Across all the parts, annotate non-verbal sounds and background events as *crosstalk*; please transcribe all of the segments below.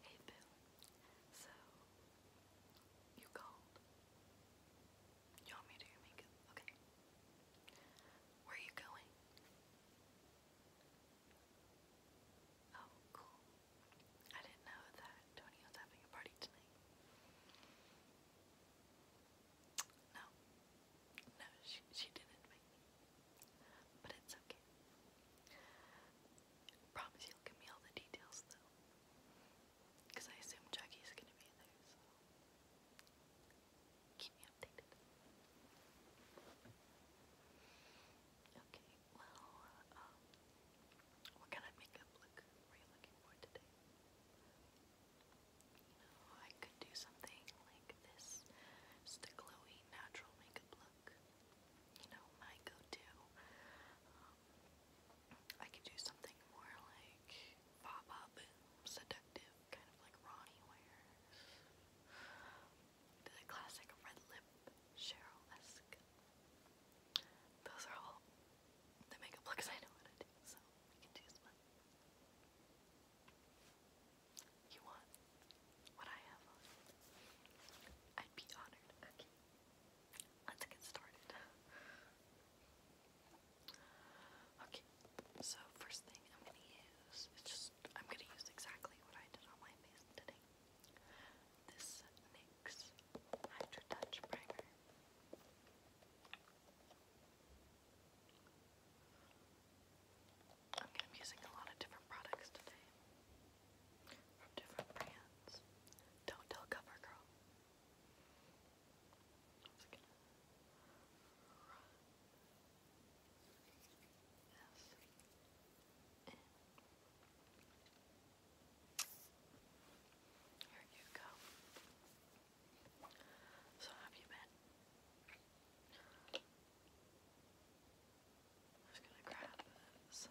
Hey Bill, so you called. You want me to your makeup? Okay. Where are you going? Oh, cool. I didn't know that Tony was having a party tonight. No. No, she, she didn't But it's okay. I promise you'll give me all the details though. Because I assume Jackie's gonna be there, so keep me updated. Okay, well, uh, um, what kind of makeup look were you looking for today? You know, I could do something like this. It's the glowy natural makeup look look. You know, my go-to. Um, I could do something more like pop up, seductive, kind of like Ronnie wears. The classic red lip, Cheryl-esque. Those are all the makeup looks I know what I do, so you can choose one. You want what I have I'd be honored. Okay. Let's get started. Okay, so first thing I'm gonna use is just I'm gonna use exactly what I did on my face today. This NYX Hydro Touch Primer. I'm gonna be using a lot of different products today from different brands. Don't tell CoverGirl. It's Here you go. So have you been? i now I'm just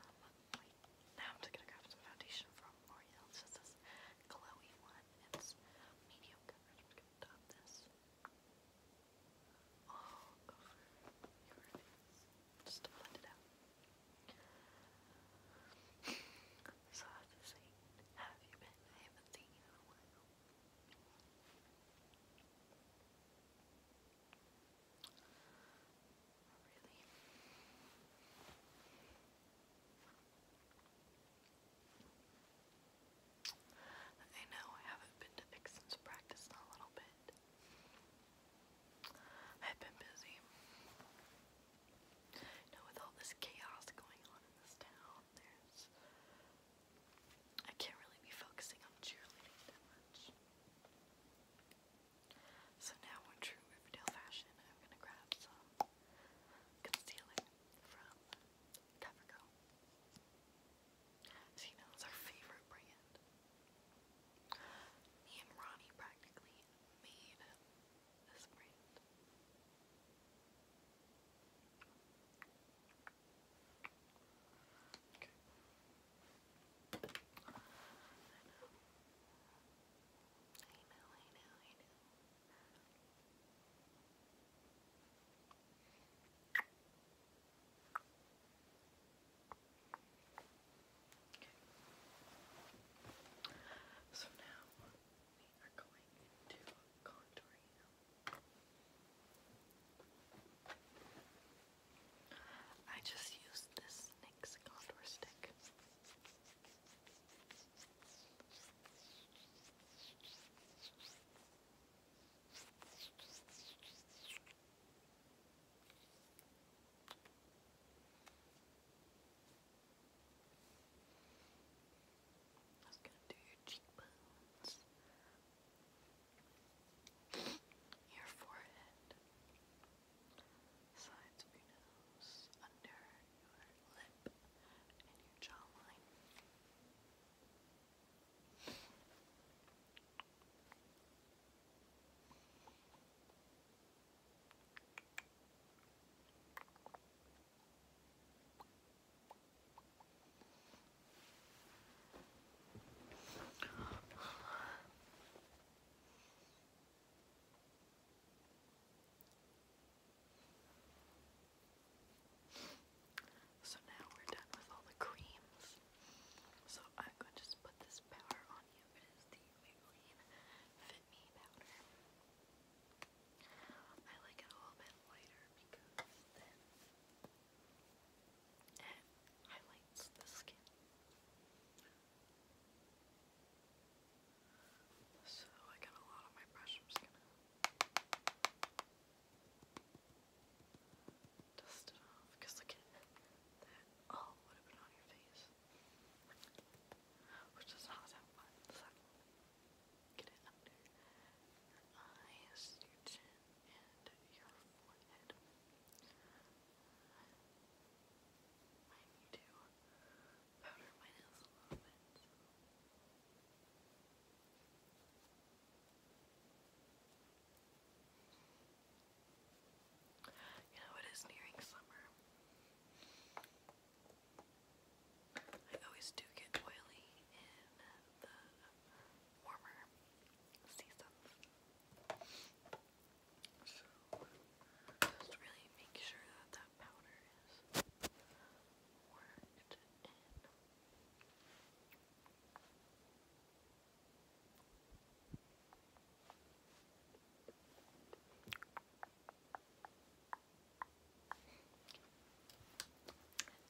gonna grab some foundation from L'Oreal. just this glowy one. It's medium coverage. I'm gonna dot this all over your face just to blend it out. so I have to say, have you been? I haven't seen you in a while. Really. I know I haven't been to Vixen's practice in a little bit. I've been busy. You with all this chaos going on in this town, there's. I can't really be focusing on cheerleading that much. So now in true Riverdale fashion, I'm gonna grab some concealer from CoverGirl. So you know our favorite brand. Me and Ronnie practically made this brand. I know. So now we are going into contouring I just used this NYX contour stick. I gonna do your cheekbones, your forehead, sides of your nose, under your lip, and your jawline. So now we're done with all the creams. So I'm going to just put this powder on you. It is the Maybelline Fit Me powder. I like it a little bit lighter because then it highlights the skin. So I got a lot on my brush. I'm just gonna dust it off. look at that. Oh, would have been on your face. Which is not that fun. get it under your eyes, your chin, and your forehead. I You know, it is nearing summer. I always do get oily in the warmer seasons. So, just really make sure that that powder is worked in.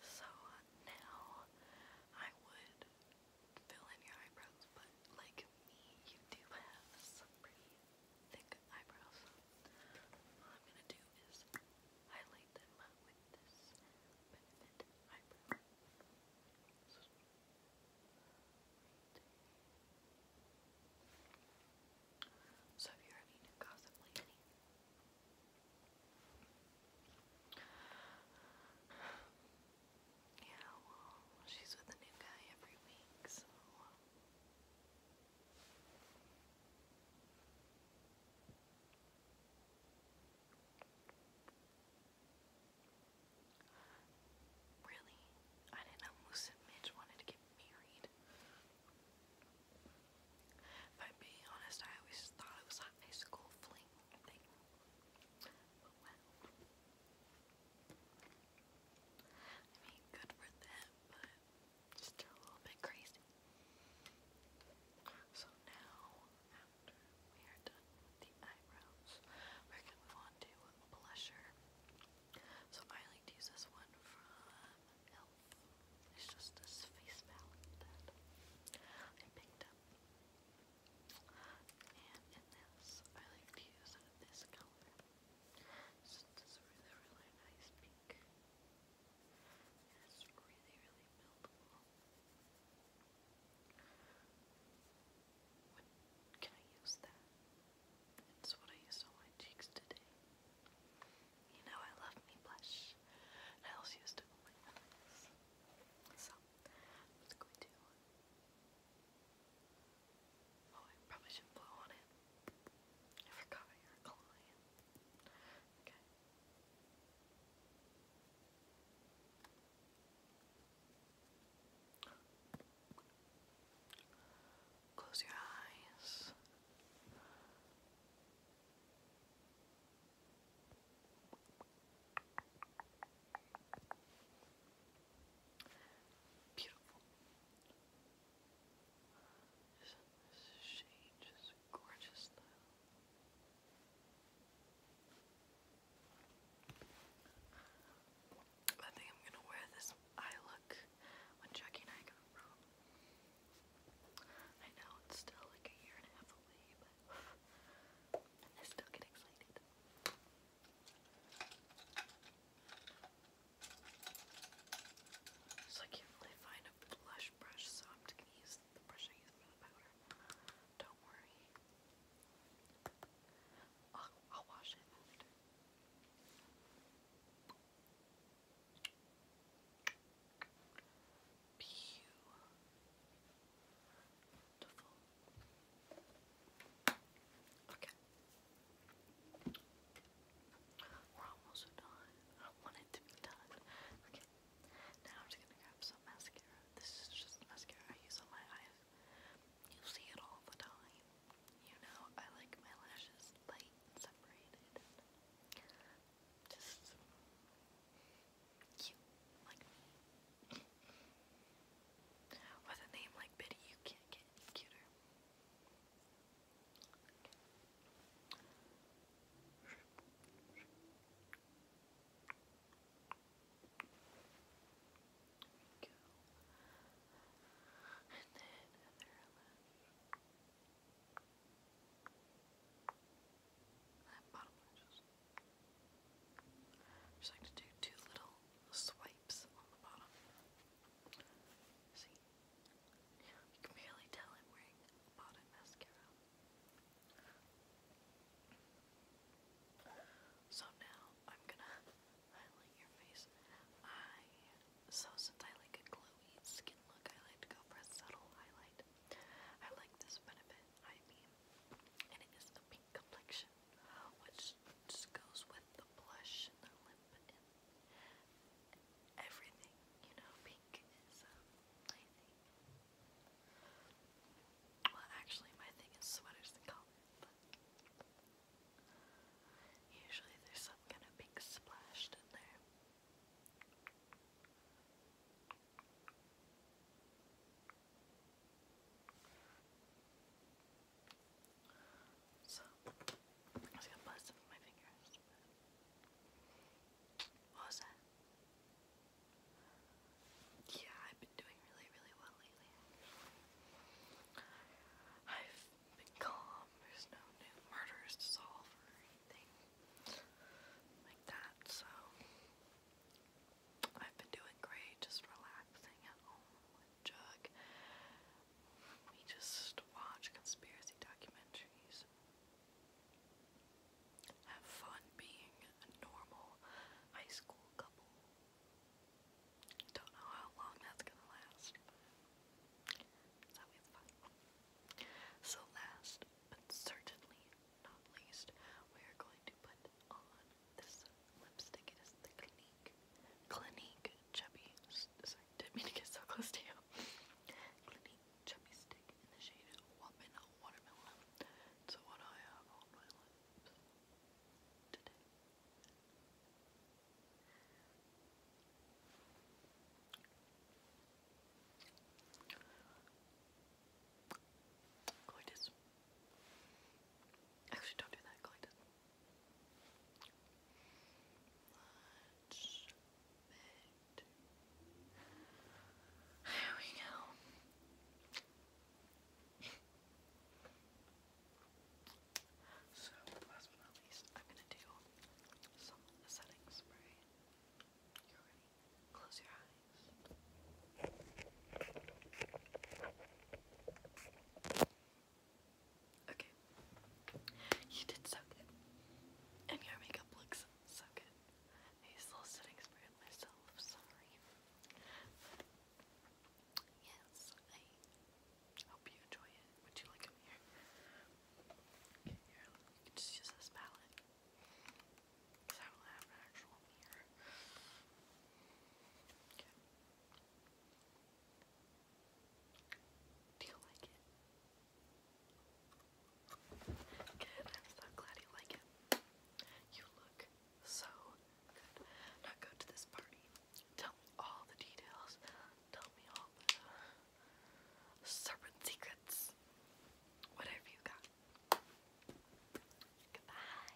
So uh, now I would fill in your eyebrows, but like me, you do have some pretty thick eyebrows. I'm gonna do is highlight them with this benefit eyebrow. So, right you're any new gossip lady, yeah, well, she's with a new guy every week, so. Really? I didn't know Moose and Midge wanted to get married. If I'm being honest, I always thought it was a high school fling thing. But well, I mean, good for them, but just a little bit crazy. So now, after we are done with the eyebrows, we're gonna move on to blusher. So I like to use this one from Elf. It's just this face palette that I picked up. And in this, I like to use this color since it's really, really nice pink. And it's really, really buildable. can I use that? It's what I used on my cheeks today. You know I love me blush. I also used it on my eyes. So, I'm going to Oh, I probably shouldn't blow on it. I forgot you're client. Okay. Close your eyes. Beautiful. Isn't this shade just gorgeous I think I'm gonna wear this eye look when Jackie and I got I know it's still like a year and a half away, but I *sighs* still get excited. So I can't really find a blush brush, so I'm to use the brush I use for the powder. Don't worry. I'll, wash it after. Beautiful. Okay. We're almost done. I want it to be done. Okay. Now I'm just gonna grab some mascara. This is just mascara I use on my eyes. You see it all the time. You know, I like my lashes light separated. Just cute like me. With a name like Biddy, you can't get any cuter. just, like to do two little swipes on the bottom. See? You can barely tell I'm wearing bottom mascara. So now I'm gonna highlight your face. I so since I like a glowy skin look, I like to go for subtle highlight. I like this benefit, I mean, and it is the pink complexion which just goes with the blush and the lip and everything, you know, pink is, my um, thing. Well, actually, my thing is sweaters and collars, but usually there's some kind of pink splashed in there. So, I'm just gonna blend some of my fingers. What was that? Yeah, I've been doing really, really well lately. I've been calm. There's no new murders to solve or anything like that, so I've been doing great, just relaxing at home jug. We just watch conspiracy documentaries. Have fun being a normal high school couple. Don't know how long that's gonna last, So last, but certainly not least, we are going to put on this lipstick is the Clinique Clinique Chubby. Sorry, didn't mean to get so close to you. Clinique Chubby Stick in the shade Watermelon. So what I have on my lips today. Colitis. Actually, don't do that, Colitis. There we go. So last but not least, I'm gonna do some setting spray. Close your eyes. Okay. You did so good. And your makeup looks so good. Hazel sitting spray on myself, sorry. Yes, I hope you enjoy it. Would you like them here? Okay, here, just this palette. I don't have an actual mirror. Okay. Do you like it? Good, I'm so glad you like it. You look so good. Now go to this party. Tell me all the details. Tell me all the serpent secrets. Whatever you got. Goodbye.